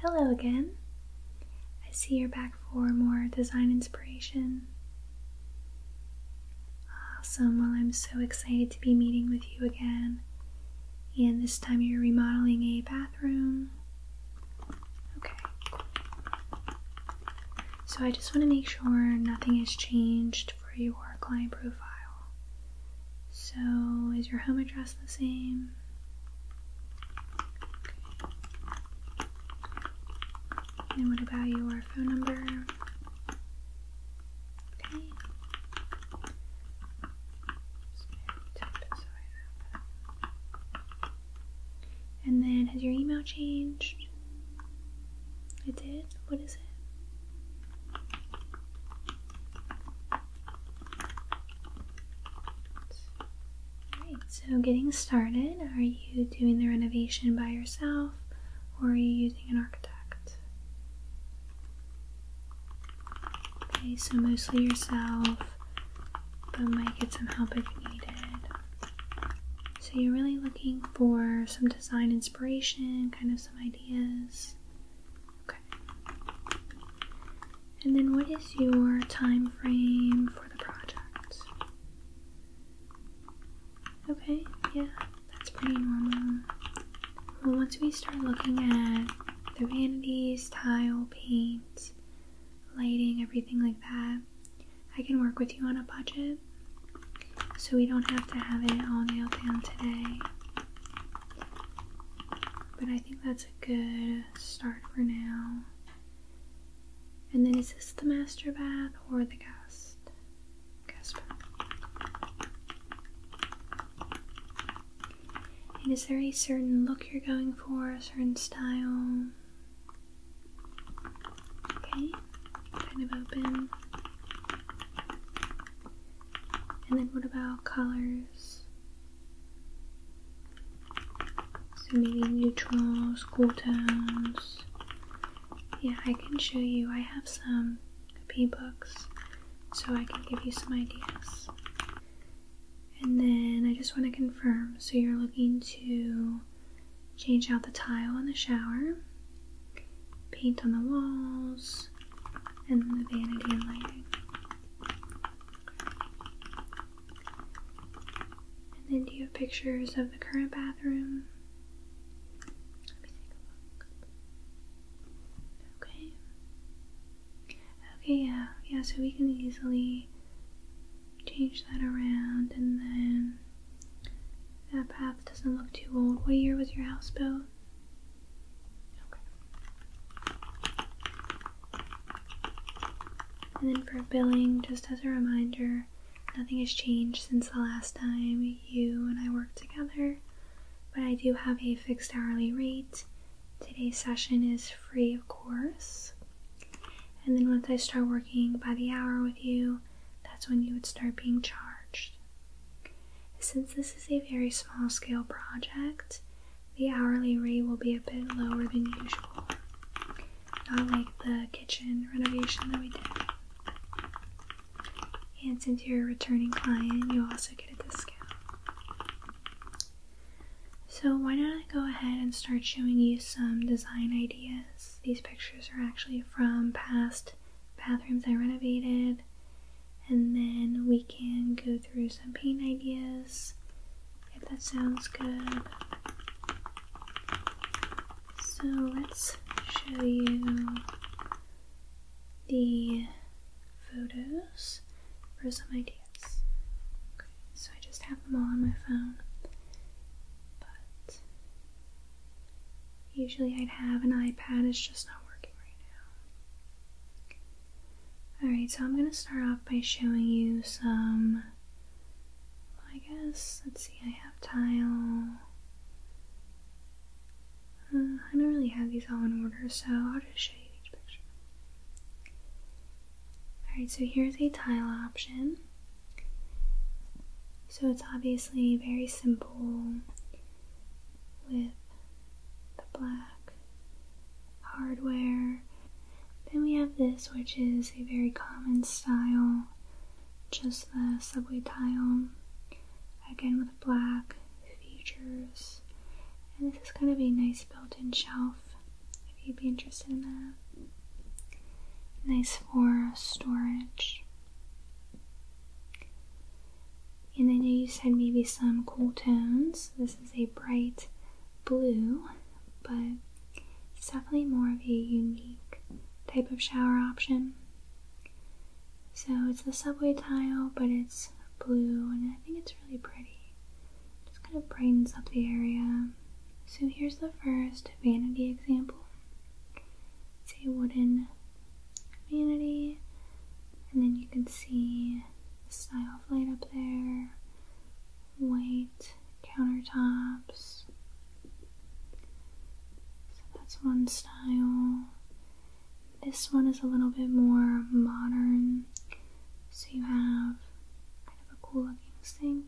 Hello again. I see you're back for more design inspiration. Awesome. Well, I'm so excited to be meeting with you again. And this time you're remodeling a bathroom. Okay. So I just want to make sure nothing has changed for your client profile. So, is your home address the same? And what about your phone number? Okay. And then, has your email changed? It did? What is it? so getting started, are you doing the renovation by yourself or are you using an architect? Okay, so mostly yourself, but might get some help if needed. So you're really looking for some design inspiration, kind of some ideas. Okay. And then what is your time frame for the project? Okay, yeah, that's pretty normal. Well, once we start looking at the vanities, tile, paint, lighting, everything like that, I can work with you on a budget so we don't have to have it all nailed down today. But I think that's a good start for now. And then is this the master bath or the guest? Guest bath. And is there a certain look you're going for, a certain style? Okay kind of open. And then what about colors? So maybe neutrals, cool tones. Yeah, I can show you. I have some P books, so I can give you some ideas. And then I just want to confirm. So you're looking to change out the tile in the shower paint on the walls, and the vanity and lighting. And then do you have pictures of the current bathroom? Okay. Okay, yeah, yeah, so we can easily change that around and then that path doesn't look too old. What year was your house built? And then for billing, just as a reminder, nothing has changed since the last time you and I worked together, but I do have a fixed hourly rate. Today's session is free, of course. And then once I start working by the hour with you, that's when you would start being charged. Since this is a very small scale project, the hourly rate will be a bit lower than usual. Not like the kitchen renovation that we did. And since you're a returning client, you also get a discount. So why do not I go ahead and start showing you some design ideas. These pictures are actually from past bathrooms I renovated, and then we can go through some paint ideas if that sounds good. So let's show you the photos for some ideas. so I just have them all on my phone, but Usually I'd have an iPad, it's just not working right now. Alright, so I'm going to start off by showing you some, I guess, let's see, I have tile. Uh, I don't really have these all in order, so I'll just show you each picture. Alright, so here's a tile option. So it's obviously very simple with the black hardware. Then we have this, which is a very common style, just the subway tile, again with black features. And this is kind of a nice built in shelf if you'd be interested in that. Nice for storage. And I know you said maybe some cool tones. This is a bright blue, but it's definitely more of a unique type of shower option. So it's the subway tile, but it's blue, and I think it's really pretty. just kind of brightens up the area. So here's the first vanity example. It's a wooden community, and then you can see the style of light up there, white countertops. So that's one style. This one is a little bit more modern, so you have kind of a cool looking sink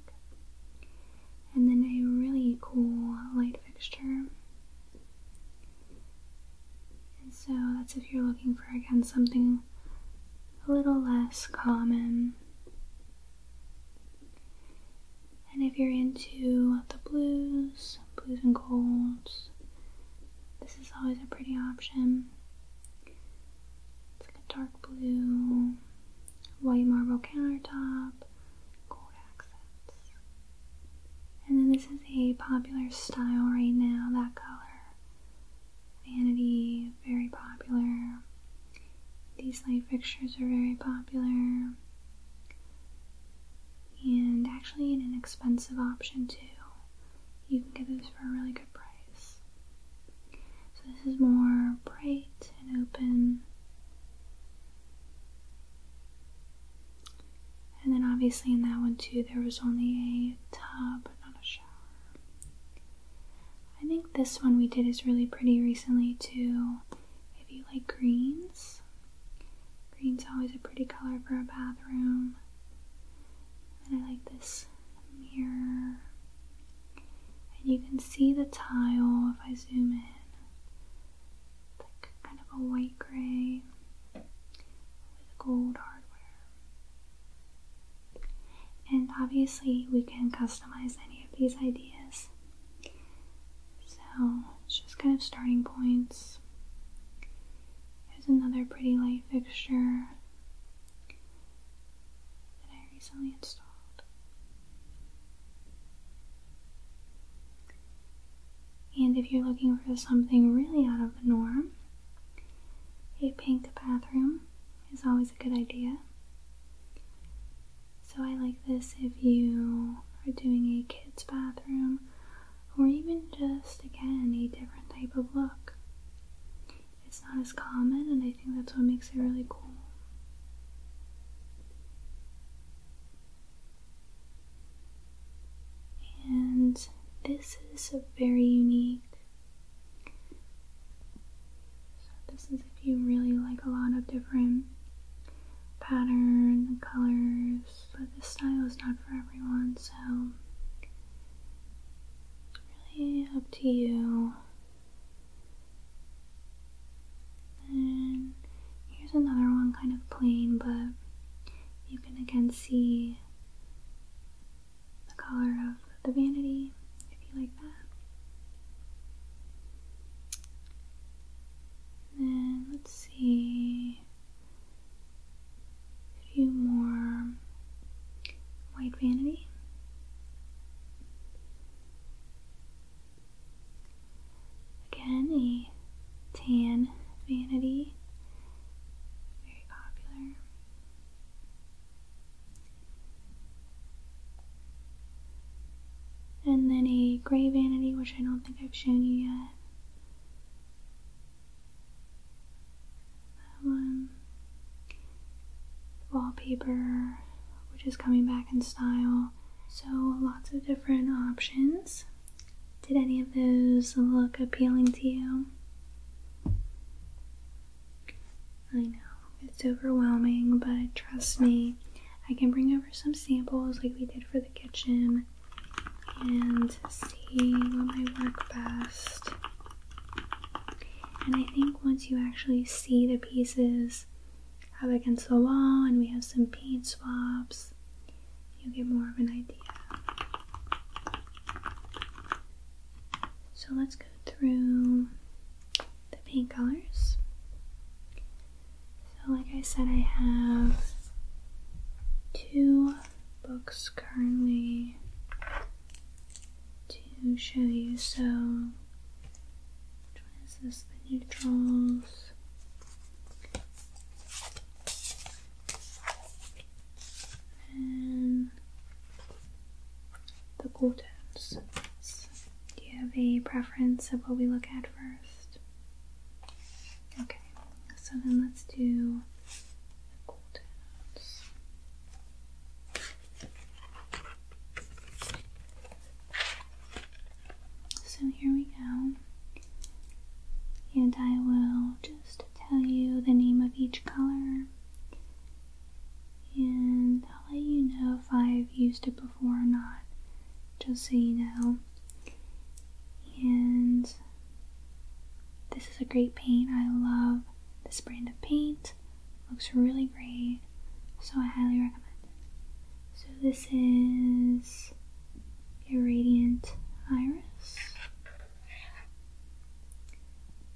and then a really cool light fixture. And so that's if you're looking for again something a little less common. And if you're into the blues, blues and golds, this is always a pretty option. It's like a dark blue, white marble countertop, and then this is a popular style right now, that color. Vanity, very popular. These light fixtures are very popular. And actually an inexpensive option too. You can get those for a really good price. So this is more bright and open. And then obviously in that one too, there was only a tub, but not a shower. I think this one we did is really pretty recently too. If you like greens, green's always a pretty color for a bathroom. And I like this mirror and you can see the tile if I zoom in. like kind of a white gray with gold hardware. And obviously, we can customize any of these ideas. So it's just kind of starting points. Here's another pretty light fixture that I recently installed. And if you're looking for something really out of the norm, a pink bathroom is always a good idea. So I like this if you are doing a kids' bathroom or even just again a different type of look. It's not as common and I I think that's what makes it really cool. And this is a very unique. this is if you really like a lot of different pattern and colors, but this style is not for everyone, so really up to you then here's another one kind of plain, but you can again see the color of the vanity if you like that. then let's see a few more white vanity. Again, a tan vanity, very popular. And then a gray vanity, which I don't think I've shown you yet. That one wallpaper, which is coming back in style. So, lots of different options. Did any of those look appealing to you? I know it's overwhelming, but trust me, I can bring over some samples like we did for the kitchen and see what might work best and I think once you actually see the pieces up against the wall and we have some paint swabs, you'll get more of an idea. So let's go through the paint colors. So like I said, I have two books currently to show you. So, which one is this? The neutrals. And the cool tones. do you have a preference of what we look at first? Okay, so then let's do the cool tones. So here we go. And I will just tell you the name of each color. And I'll let you know if I've used it before or not, just so you know. And this is a great paint. I love this brand of paint. Looks really great, so I highly recommend it. So this is a radiant iris,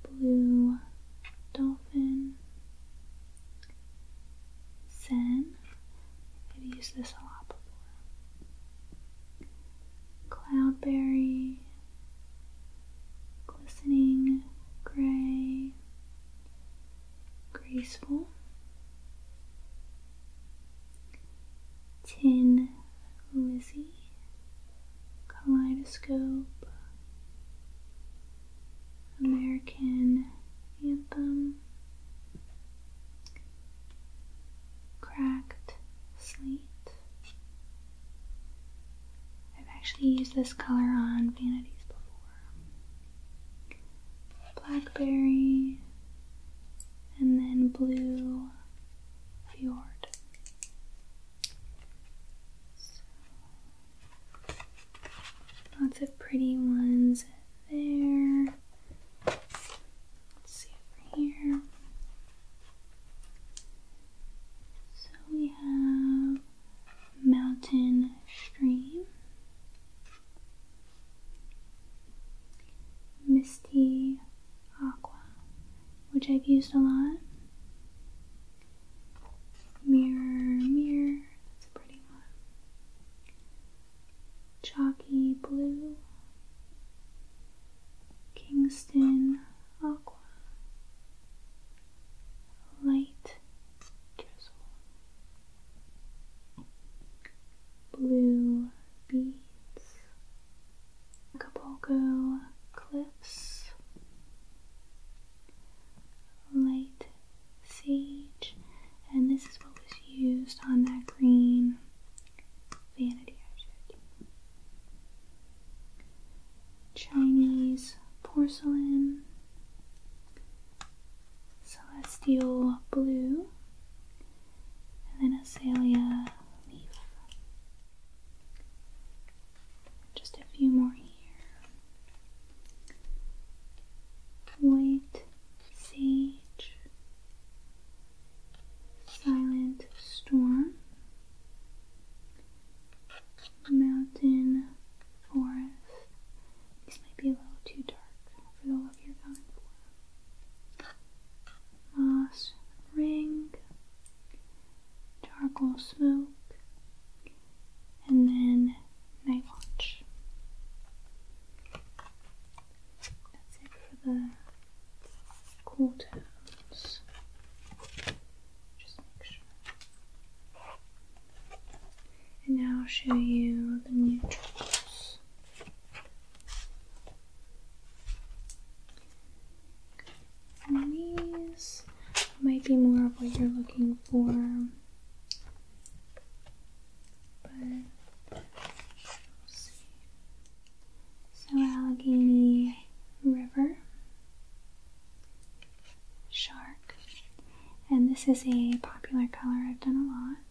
blue dolphin, zen. I've used this a lot before. Cloudberry glistening gray, graceful, tin Lizzie, kaleidoscope, American anthem, cracked slate. I've actually used this color on vanities before. Blackberry and then blue fjord. lots of pretty ones there. Let's see over here. So we have mountain stream, misty aqua, which I've used a lot. Mirror, mirror, that's a pretty one. Chalky blue, Kingston aqua light drizzle, blue beads, Acapulco cliffs, light sage, and this is what was used on that green vanity I Chinese porcelain, celestial blue, and then azalea leaf. Just a few more here. White sage, silent storm, mountain, forest. This might be a little too dark for the love you're going for. Moss ring, charcoal smoke, and then night watch. That's it for the cool downs. Just make sure. And now I'll show you the neutrals. And these might be more of what you're looking for. But so Allegheny River shark, and this is a popular color I've done a lot.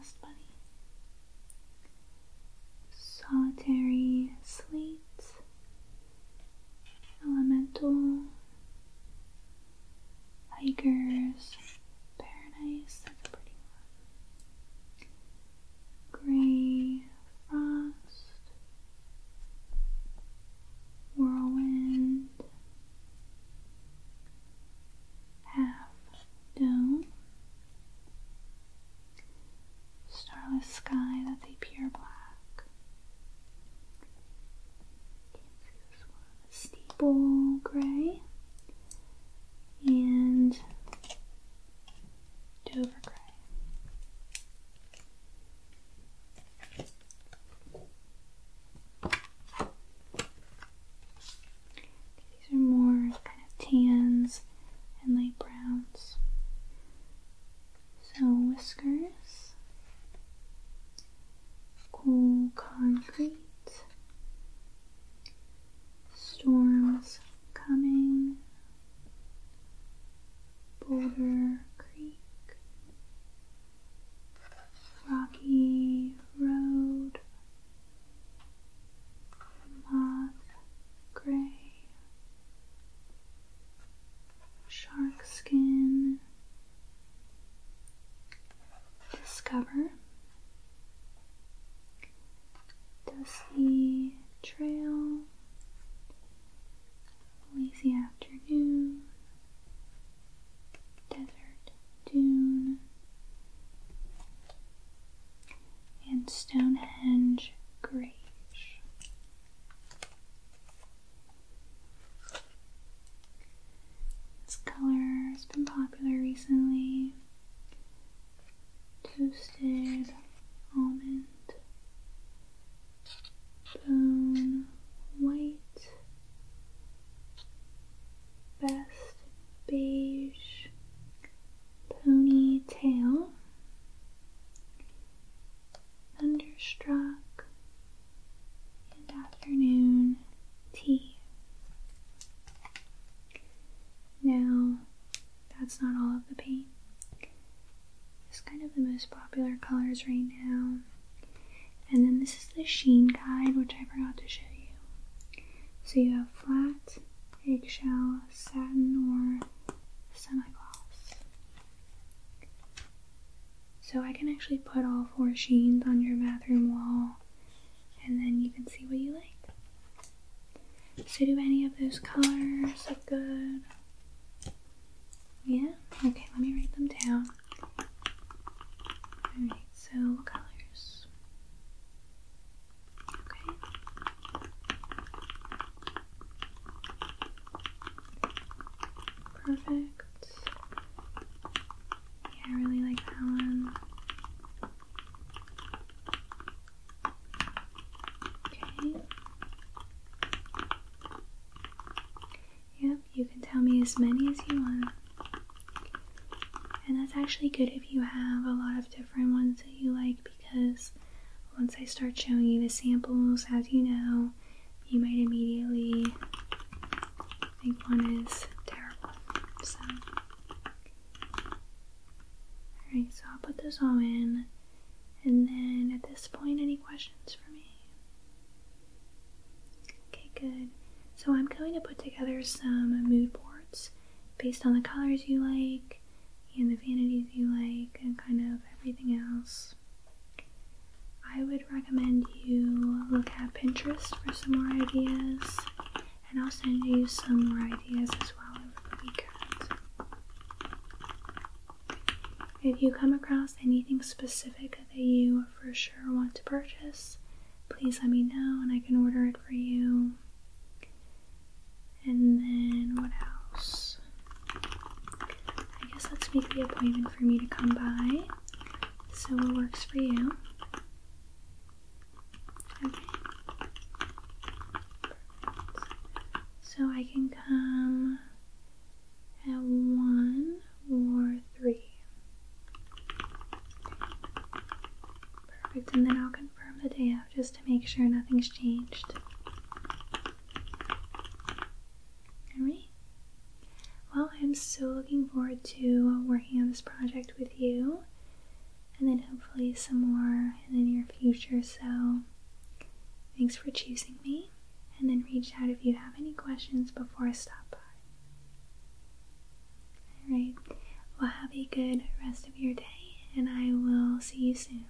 Dust bunny, solitary slate, elemental, hikers, paradise. That's a pretty one. Grey Frost, Whirlwind, Half Dome, Starless Sky, that they pure black. Steeple Grey, and Dover Gray. These are more kind of tans and light browns. So whiskers, cool concrete, storms coming. Boulder Creek, Rocky Road, Moth Gray, Shark Skin, Discover, dusty trail, lazy afternoon, desert dune, and Stonehenge Grange. This color has been popular recently toasted almond, bone white, best beige, ponytail, thunderstruck, and afternoon tea. Now, that's not all of the paint. It's kind of the most popular colors right now. And then this is the sheen guide, which I forgot to show you. So you have flat, eggshell, satin, or semi-gloss. So I can actually put all four sheens on your bathroom wall and then you can see what you like. So do any of those colors look good? Yeah? Okay, let me write them down. Alright, so what colors? Okay. Perfect. Yeah, I really like that one. Okay. Yep, you can tell me as many as you want. And that's actually good if you have a lot of different ones that you like because once I start showing you the samples, as you know, you might immediately I think one is terrible. So, alright, so I'll put this all in. And then at this point, any questions for me? Okay, good. So I'm going to put together some mood boards based on the colors you like and the vanities you like and kind of everything else. I would recommend you look at Pinterest for some more ideas and I'll send you some more ideas as well over the weekend. If you come across anything specific that you for sure want to purchase, please let me know and I can order it for you. And then what else? I guess let's make the appointment for me to come by. So what works for you? Okay. So I can come at one or three. Perfect, and then I'll confirm the day just to make sure nothing's changed. Alright, well, I'm so looking forward to working on this project with you and then hopefully some more in the near future. So, thanks for choosing me. And then reach out if you have any questions before I stop by. Alright, well, have a good rest of your day, and I will see you soon.